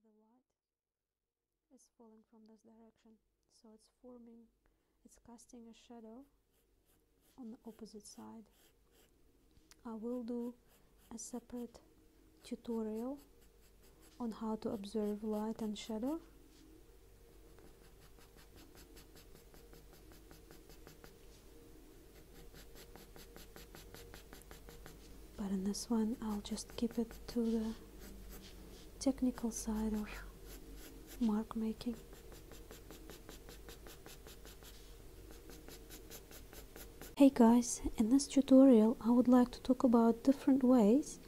probably the light is falling from this direction so it's forming it's casting a shadow on the opposite side I will do a separate tutorial on how to observe light and shadow but in this one, I'll just keep it to the technical side of mark making. Hey guys, in this tutorial I would like to talk about different ways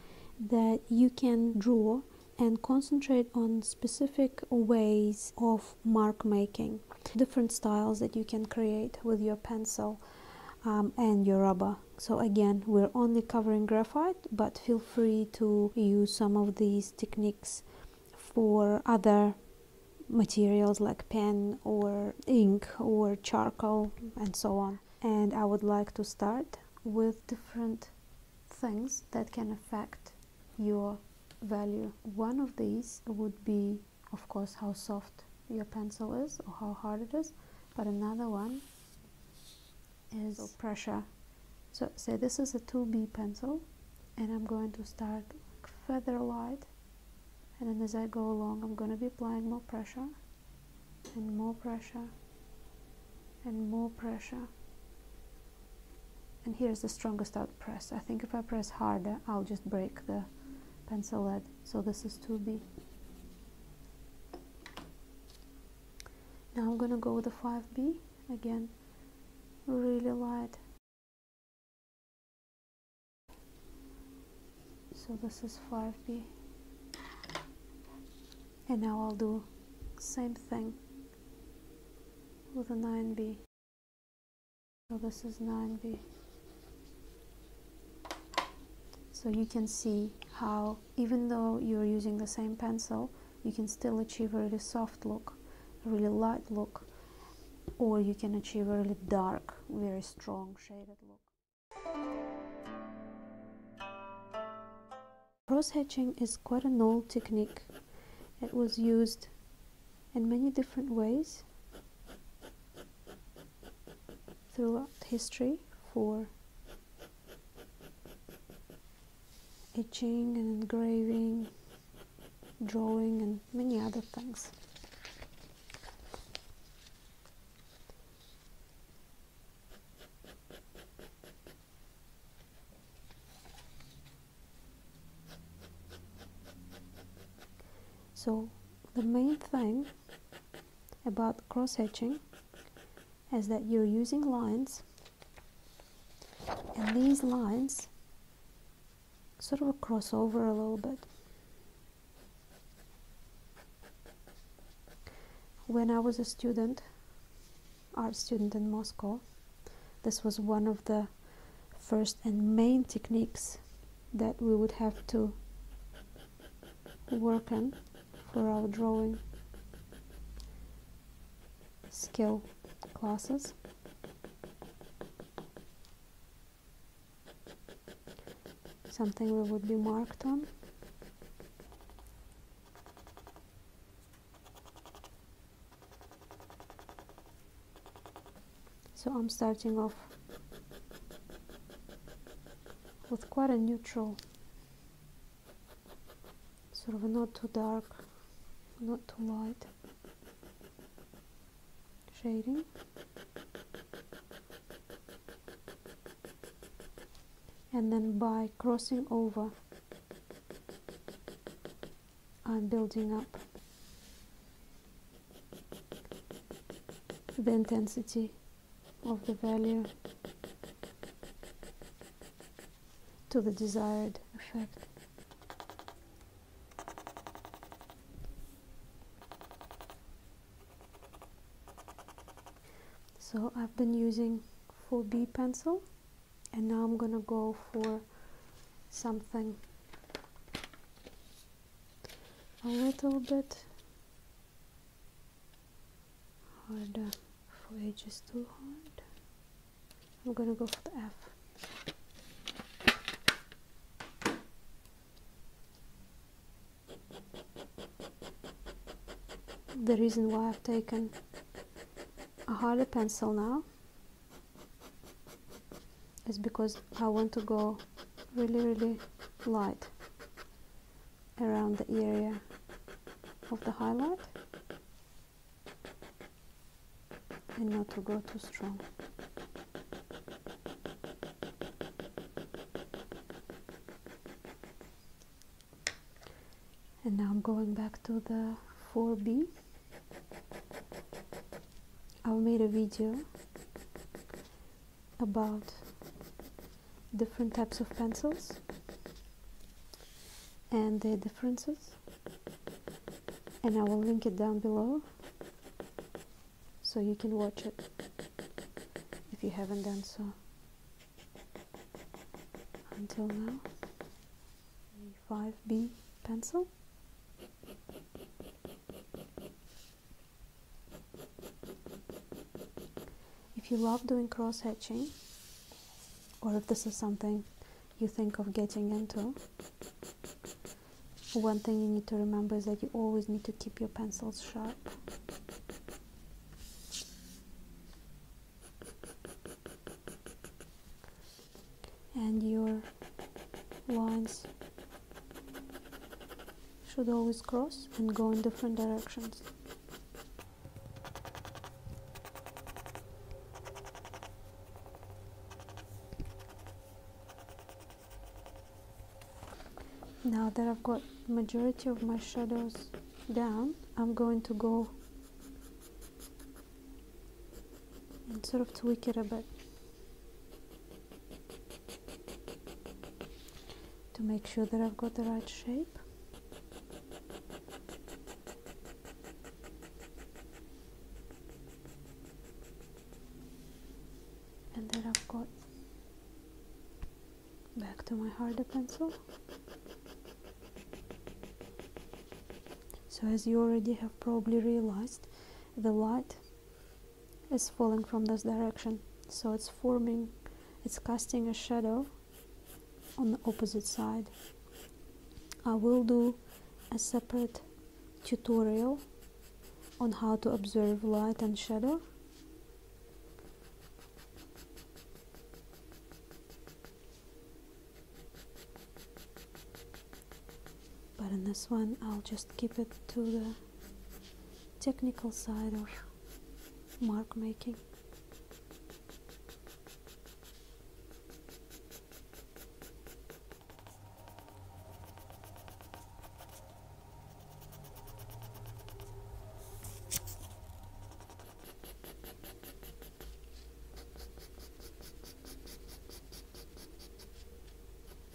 that you can draw and concentrate on specific ways of mark making different styles that you can create with your pencil um, and your rubber so again we're only covering graphite but feel free to use some of these techniques for other materials like pen or ink or charcoal and so on and I would like to start with different things that can affect your value one of these would be of course how soft your pencil is or how hard it is but another one is pressure so say this is a 2B pencil and I'm going to start feather light and then as I go along I'm going to be applying more pressure and more pressure and more pressure and here's the strongest press. I think if I press harder, I'll just break the pencil lead. So this is 2B. Now I'm gonna go with the 5B again, really light. So this is 5B. And now I'll do same thing with a 9B. So this is 9b. So you can see how even though you're using the same pencil, you can still achieve a really soft look, a really light look, or you can achieve a really dark, very strong shaded look. Cross hatching is quite an old technique. It was used in many different ways throughout history for etching and engraving, drawing, and many other things. So the main thing about cross hatching is that you're using lines and these lines sort of cross over a little bit when I was a student art student in Moscow this was one of the first and main techniques that we would have to work on for our drawing skill classes. Something we would be marked on so I'm starting off with quite a neutral sort of not too dark not too light shading and then by crossing over I'm building up the intensity of the value to the desired effect. So I've been using 4B pencil and now I'm gonna go for something a little bit harder for H is too hard. I'm gonna go for the F. The reason why I've taken a harder pencil now is because I want to go really really light around the area of the highlight and not to go too strong. And now I'm going back to the 4B I've made a video about different types of pencils and their differences and I will link it down below so you can watch it if you haven't done so until now a 5B pencil if you love doing cross hatching, or if this is something you think of getting into, one thing you need to remember is that you always need to keep your pencils sharp. And your lines should always cross and go in different directions. Now that I've got majority of my shadows down, I'm going to go and sort of tweak it a bit to make sure that I've got the right shape. And then I've got back to my harder pencil. So as you already have probably realized, the light is falling from this direction so it's forming it's casting a shadow on the opposite side I will do a separate tutorial on how to observe light and shadow but in this one I'll just keep it to the technical side of mark making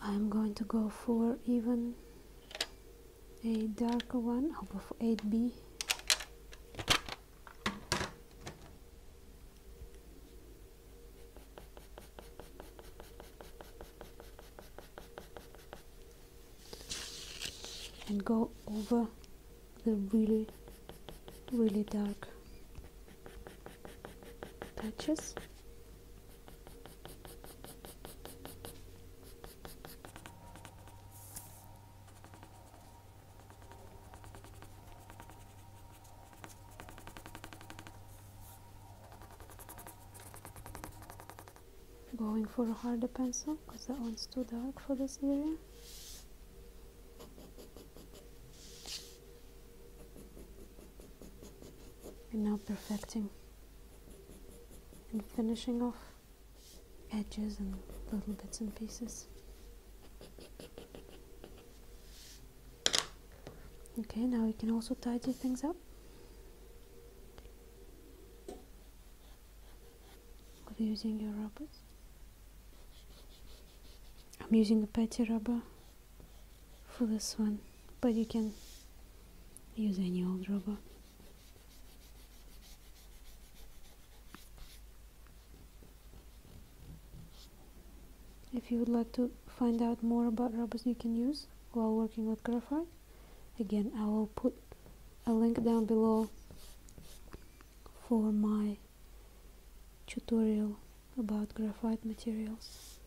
I'm going to go for even a darker one over for 8B and go over the really really dark patches Going for a harder pencil because that one's too dark for this area and now perfecting and finishing off edges and little bits and pieces. Okay, now you can also tidy things up. What using your rubbers? I'm using a petty rubber for this one but you can use any old rubber if you would like to find out more about rubbers you can use while working with graphite again I will put a link down below for my tutorial about graphite materials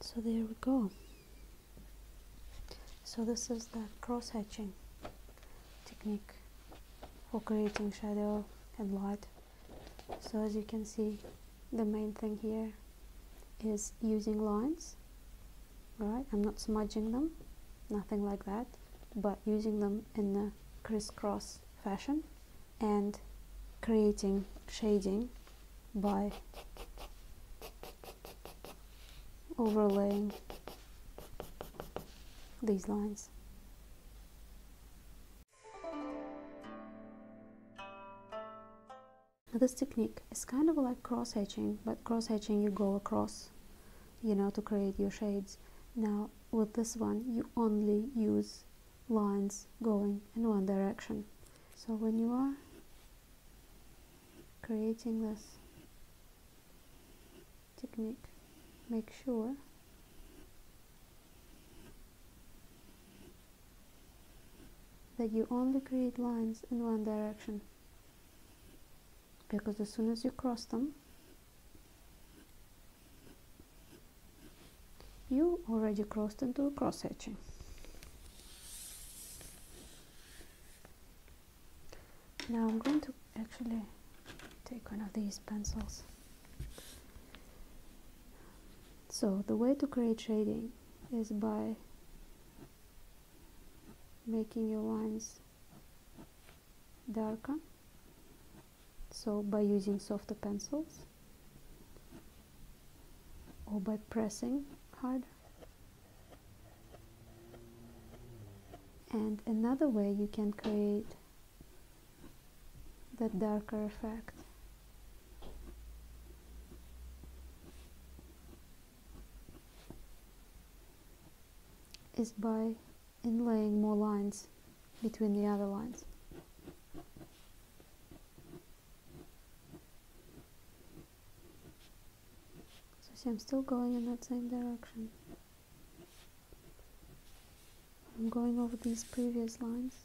so there we go so this is the cross hatching technique for creating shadow and light so as you can see the main thing here is using lines right I'm not smudging them nothing like that but using them in a crisscross fashion and creating shading by overlaying these lines. This technique is kind of like cross-hatching, but cross-hatching you go across, you know, to create your shades. Now with this one you only use lines going in one direction so when you are creating this technique make sure that you only create lines in one direction because as soon as you cross them you already crossed into a cross hatching now I'm going to actually take one of these pencils so the way to create shading is by making your lines darker so by using softer pencils or by pressing hard, and another way you can create that darker effect is by Inlaying more lines between the other lines. So see I'm still going in that same direction. I'm going over these previous lines.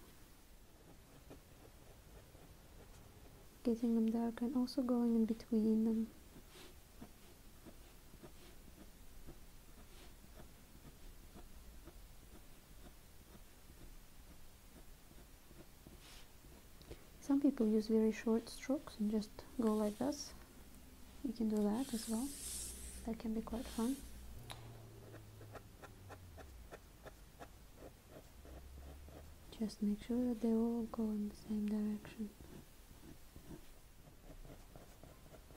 Getting them darker, and also going in between them. Some people use very short strokes and just go like this. You can do that as well. That can be quite fun. Just make sure that they all go in the same direction.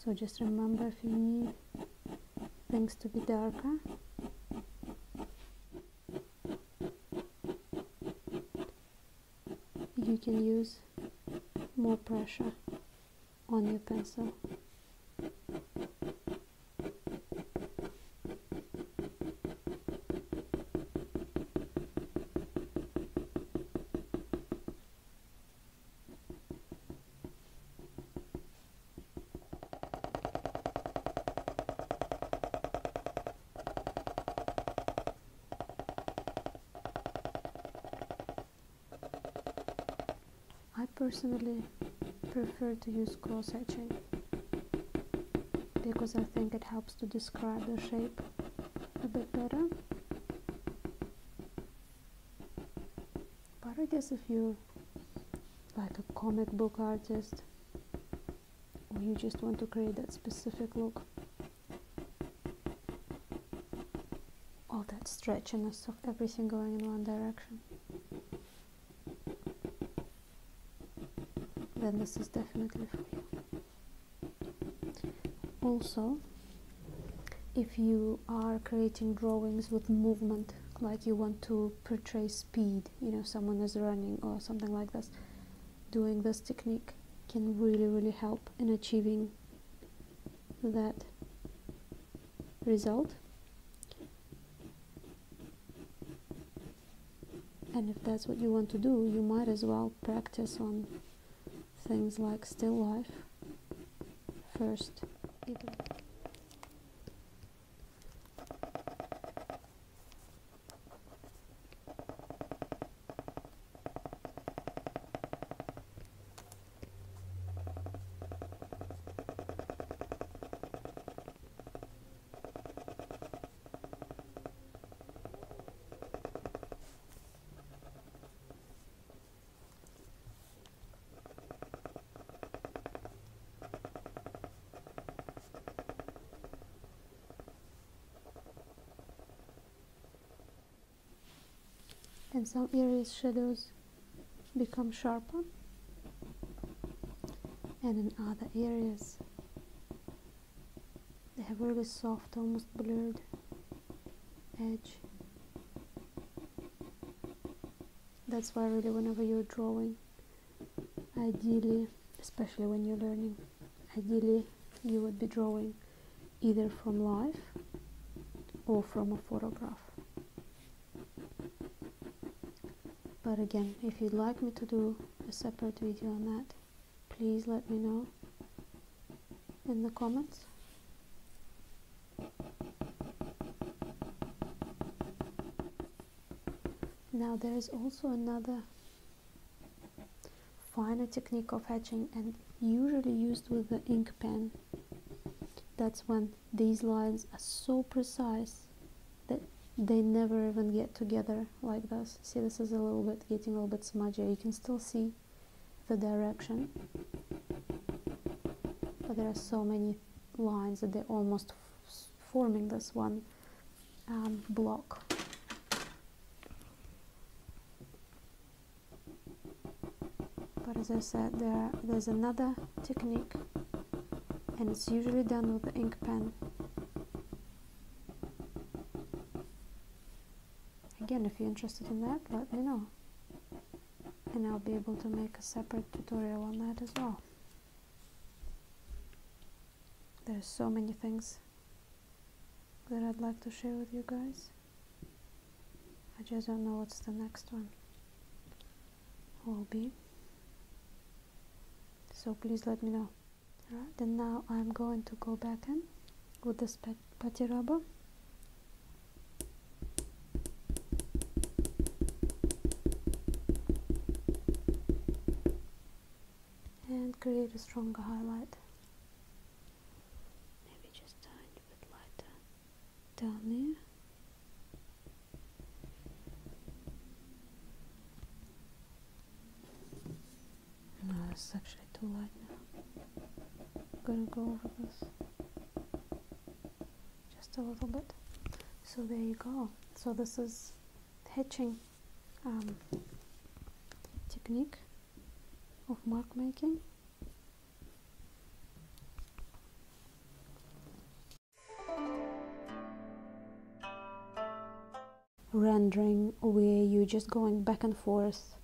so just remember if you need things to be darker you can use more pressure on your pencil I personally prefer to use cross hatching because I think it helps to describe the shape a bit better. But I guess if you're like a comic book artist or you just want to create that specific look, all that stretchiness of everything going in one direction. then this is definitely for you also if you are creating drawings with movement like you want to portray speed you know someone is running or something like this doing this technique can really really help in achieving that result and if that's what you want to do, you might as well practice on things like still life first and some areas shadows become sharper and in other areas they have really soft almost blurred edge that's why really whenever you're drawing ideally especially when you're learning ideally you would be drawing either from life or from a photograph but again if you'd like me to do a separate video on that please let me know in the comments now there is also another finer technique of hatching, and usually used with the ink pen that's when these lines are so precise that they never even get together like this see this is a little bit getting a little bit smudgy you can still see the direction but there are so many lines that they're almost forming this one um, block but as I said there there's another technique and it's usually done with the ink pen Again, if you're interested in that, let me know. And I'll be able to make a separate tutorial on that as well. There's so many things that I'd like to share with you guys. I just don't know what's the next one will be. So please let me know. Alright, then now I'm going to go back in with this putty rubber and create a stronger highlight maybe just a little bit lighter down there no, this actually too light now. I'm gonna go over this just a little bit. So there you go. So this is hatching um, technique of mark making rendering where you're just going back and forth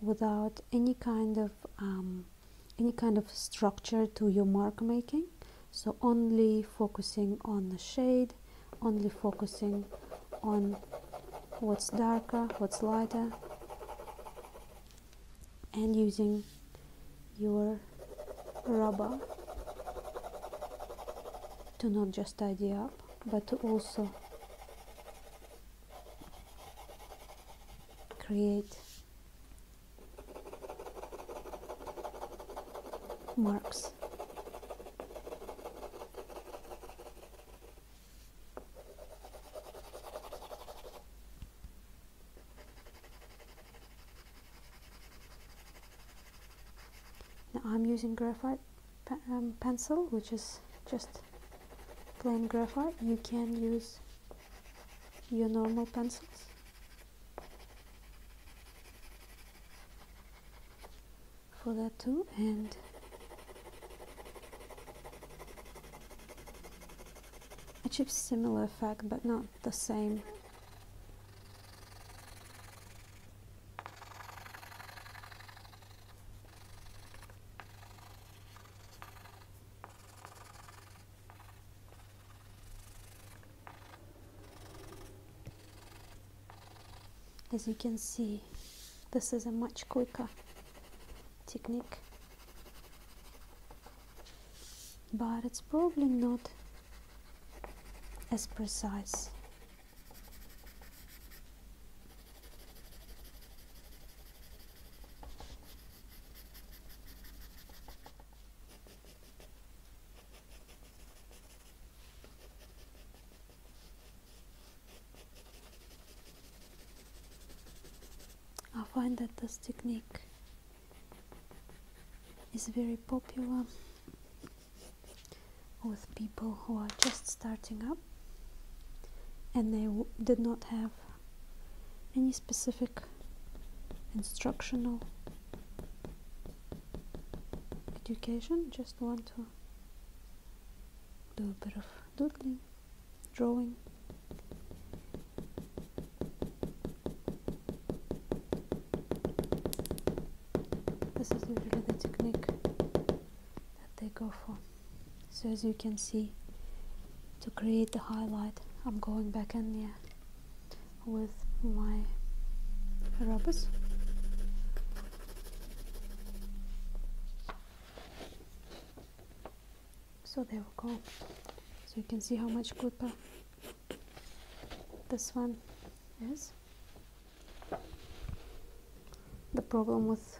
without any kind of um, any kind of structure to your mark making so only focusing on the shade only focusing on what's darker what's lighter and using your rubber to not just tidy up but to also create marks now I'm using graphite um, pencil which is just plain graphite you can use your normal pencils for that too and achieve similar effect but not the same as you can see, this is a much quicker technique, but it's probably not as precise I find that this technique is very popular with people who are just starting up and they did not have any specific instructional education, just want to do a bit of doodling, drawing. This is usually the technique that they go for so as you can see to create the highlight I'm going back in there with my rubbers so there we go so you can see how much glitter this one is the problem with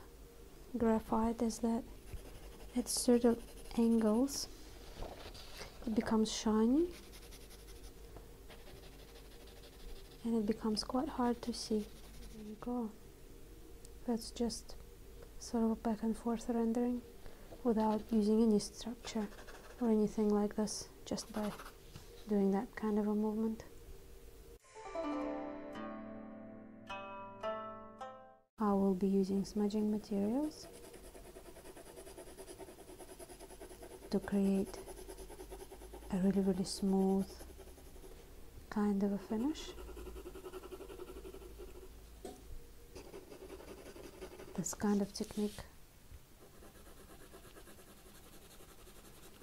graphite is that at certain angles it becomes shiny and it becomes quite hard to see. There you go. That's just sort of back and forth rendering without using any structure or anything like this, just by doing that kind of a movement. I will be using smudging materials to create a really really smooth kind of a finish this kind of technique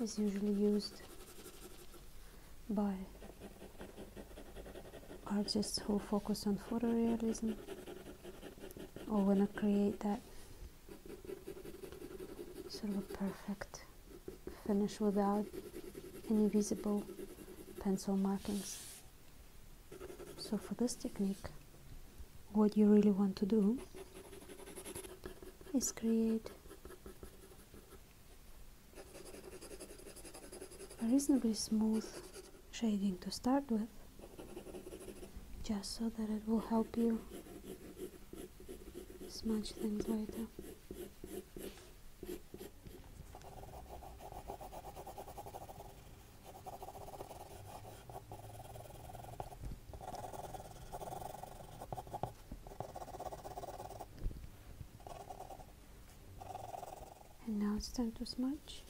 is usually used by artists who focus on photorealism or want to create that sort of perfect finish without any visible pencil markings. So for this technique, what you really want to do is create a reasonably smooth shading to start with just so that it will help you smudge things later and now it's time to smudge.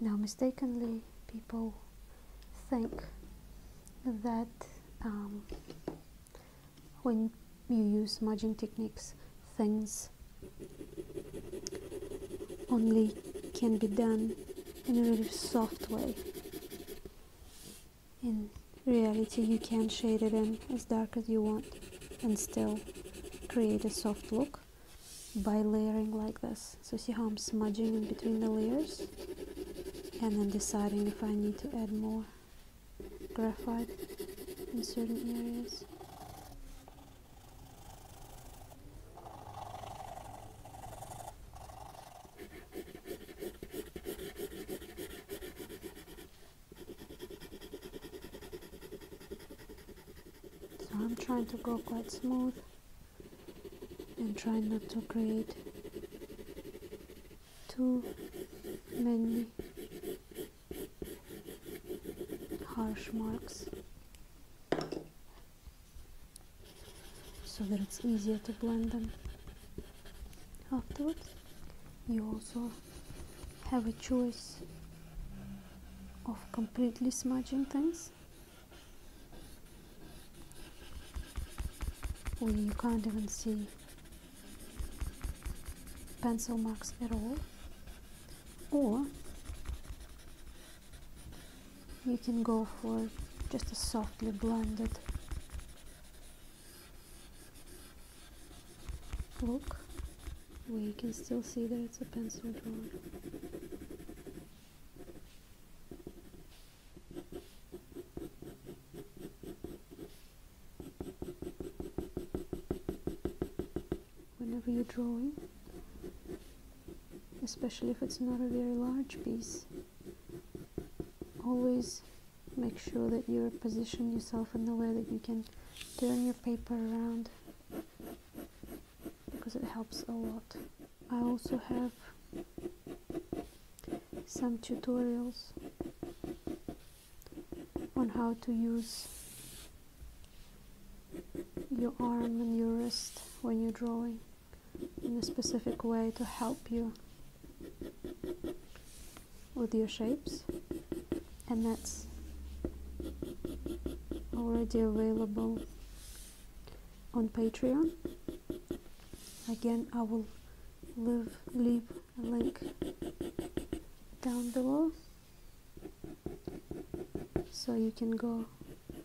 Now, mistakenly, people think that um, when you use smudging techniques, things only can be done in a really soft way. In reality, you can shade it in as dark as you want and still create a soft look by layering like this. So see how I'm smudging in between the layers and then deciding if I need to add more graphite in certain areas. So I'm trying to go quite smooth and try not to create too many harsh marks so that it's easier to blend them afterwards you also have a choice of completely smudging things where you can't even see pencil marks at all or you can go for just a softly blended look where you can still see that it's a pencil drawing. Whenever you're drawing, especially if it's not a very large piece, always make sure that you position yourself in the way that you can turn your paper around because it helps a lot I also have some tutorials on how to use your arm and your wrist when you're drawing in a specific way to help you with your shapes and that's already available on Patreon. Again, I will leave, a link down below so you can go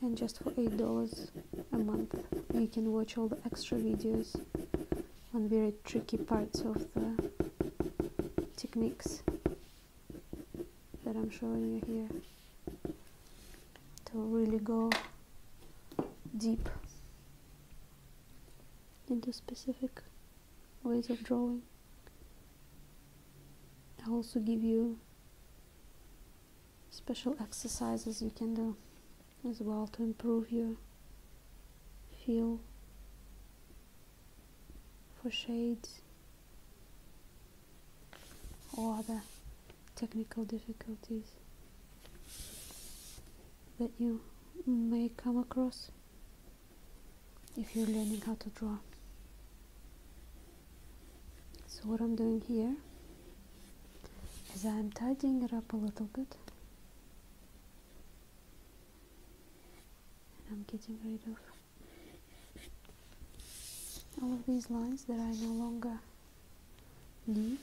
and just for $8 a month you can watch all the extra videos on very tricky parts of the techniques that I'm showing you here to really go deep into specific ways of drawing. I also give you special exercises you can do as well to improve your feel for shades or other technical difficulties that you may come across if you're learning how to draw. So what I'm doing here as I'm tidying it up a little bit and I'm getting rid of all of these lines that I no longer need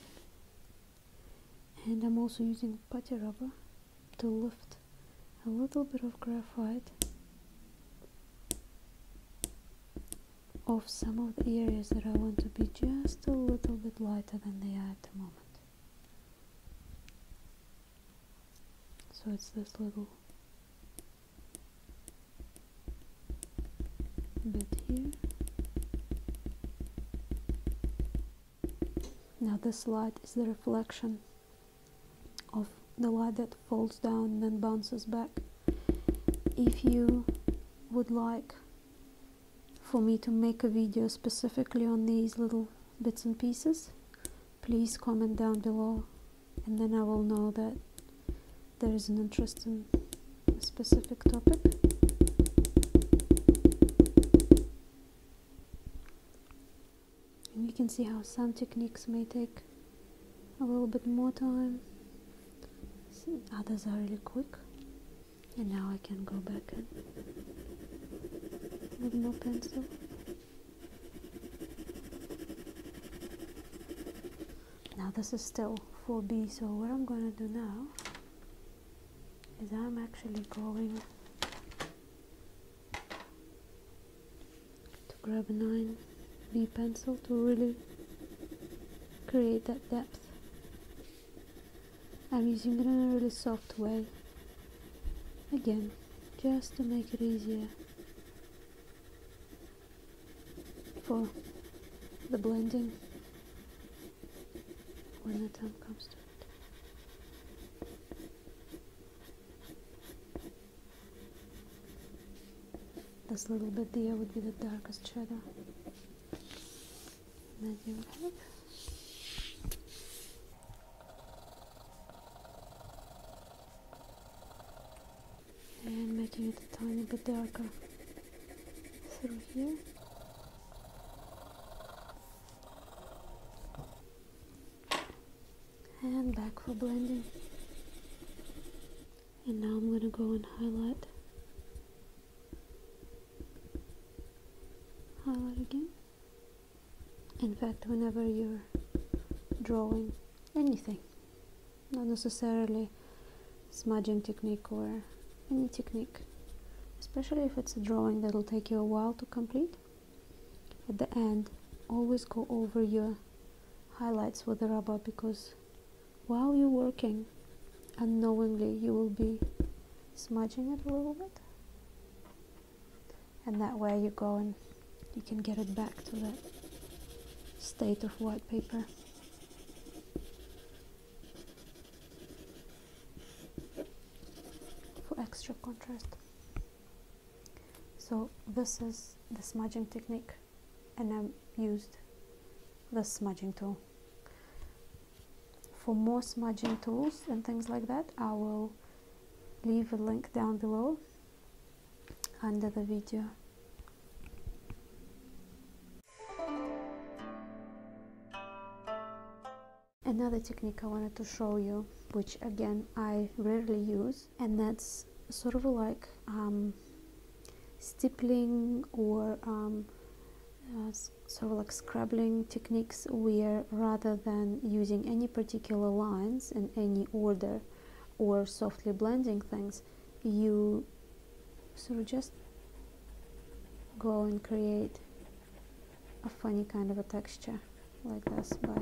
and I'm also using putty rubber to lift a little bit of graphite of some of the areas that I want to be just a little bit lighter than they are at the moment. So it's this little bit here. Now this light is the reflection of the light that falls down and then bounces back. If you would like for me to make a video specifically on these little bits and pieces please comment down below and then I will know that there is an interest in a specific topic and you can see how some techniques may take a little bit more time others are really quick and now I can go back in with no pencil now this is still 4b so what I'm gonna do now is I'm actually going to grab a 9b pencil to really create that depth I'm using it in a really soft way again just to make it easier for the blending when the time comes to it. This little bit here would be the darkest shadow. And making it a tiny bit darker through here. And back for blending. And now I'm gonna go and highlight highlight again in fact whenever you're drawing anything not necessarily smudging technique or any technique especially if it's a drawing that'll take you a while to complete at the end always go over your highlights with the rubber because while you're working unknowingly you will be smudging it a little bit and that way you go and you can get it back to that state of white paper for extra contrast so this is the smudging technique and I used the smudging tool for more smudging tools and things like that I will leave a link down below under the video another technique I wanted to show you which again I rarely use and that's sort of like um, stippling or um, uh, sort of like scrabbling techniques where rather than using any particular lines in any order or softly blending things you sort of just go and create a funny kind of a texture like this by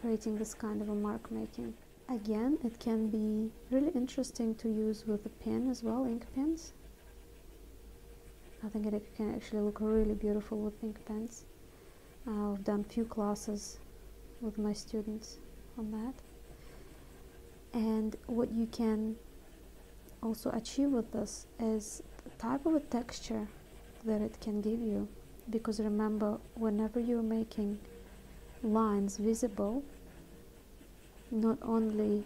creating this kind of a mark making Again, it can be really interesting to use with a pen as well, ink pens. I think it can actually look really beautiful with ink pens. I've done few classes with my students on that. And what you can also achieve with this is the type of texture that it can give you. Because remember, whenever you're making lines visible not only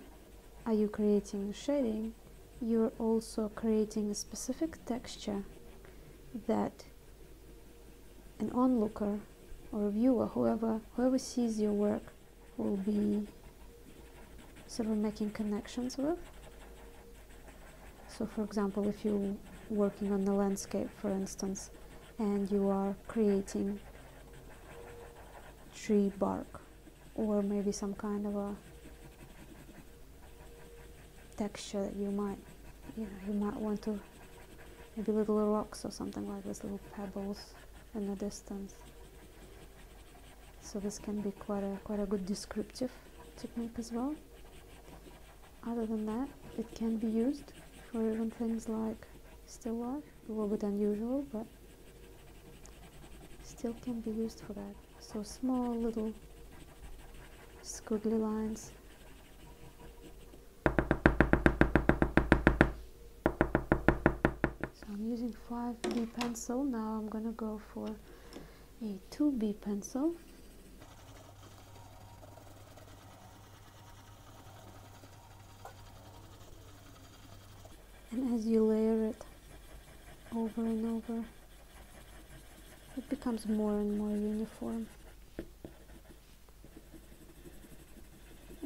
are you creating shading you're also creating a specific texture that an onlooker or viewer whoever whoever sees your work will be sort of making connections with so for example if you're working on the landscape for instance and you are creating tree bark or maybe some kind of a texture that you might you know you might want to maybe little rocks or something like this little pebbles in the distance so this can be quite a quite a good descriptive technique as well other than that, it can be used for even things like still life, a little bit unusual, but still can be used for that. So small little squiggly lines So I'm using 5B pencil. Now I'm going to go for a 2B pencil and as you layer it over and over it becomes more and more uniform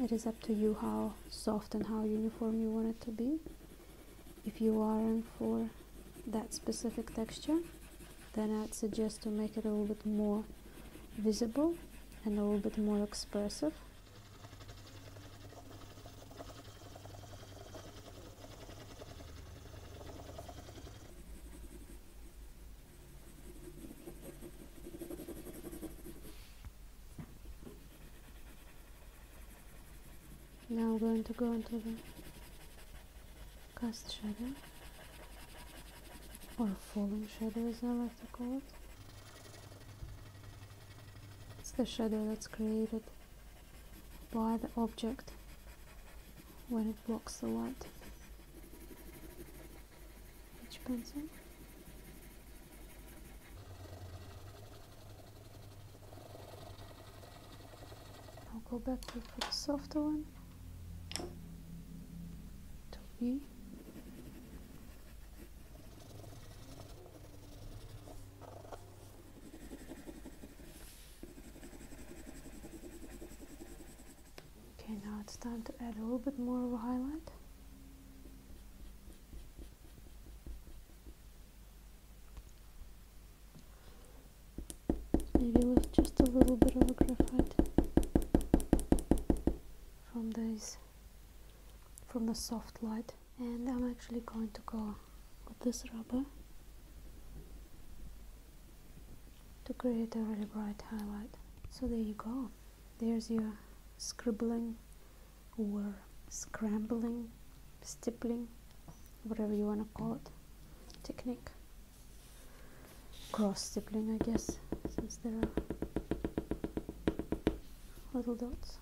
it is up to you how soft and how uniform you want it to be if you aren't for that specific texture then I'd suggest to make it a little bit more visible and a little bit more expressive Now I'm going to go into the cast shadow or falling shadows, as I like to call it. It's the shadow that's created by the object when it blocks the light. Each pencil. I'll go back to the softer one. Okay, now it's time to add a little bit more of a highlight. Maybe with just a little bit of a graphite from these from the soft light and I'm actually going to go with this rubber to create a really bright highlight so there you go there's your scribbling or scrambling stippling whatever you want to call it technique cross stippling I guess since there are little dots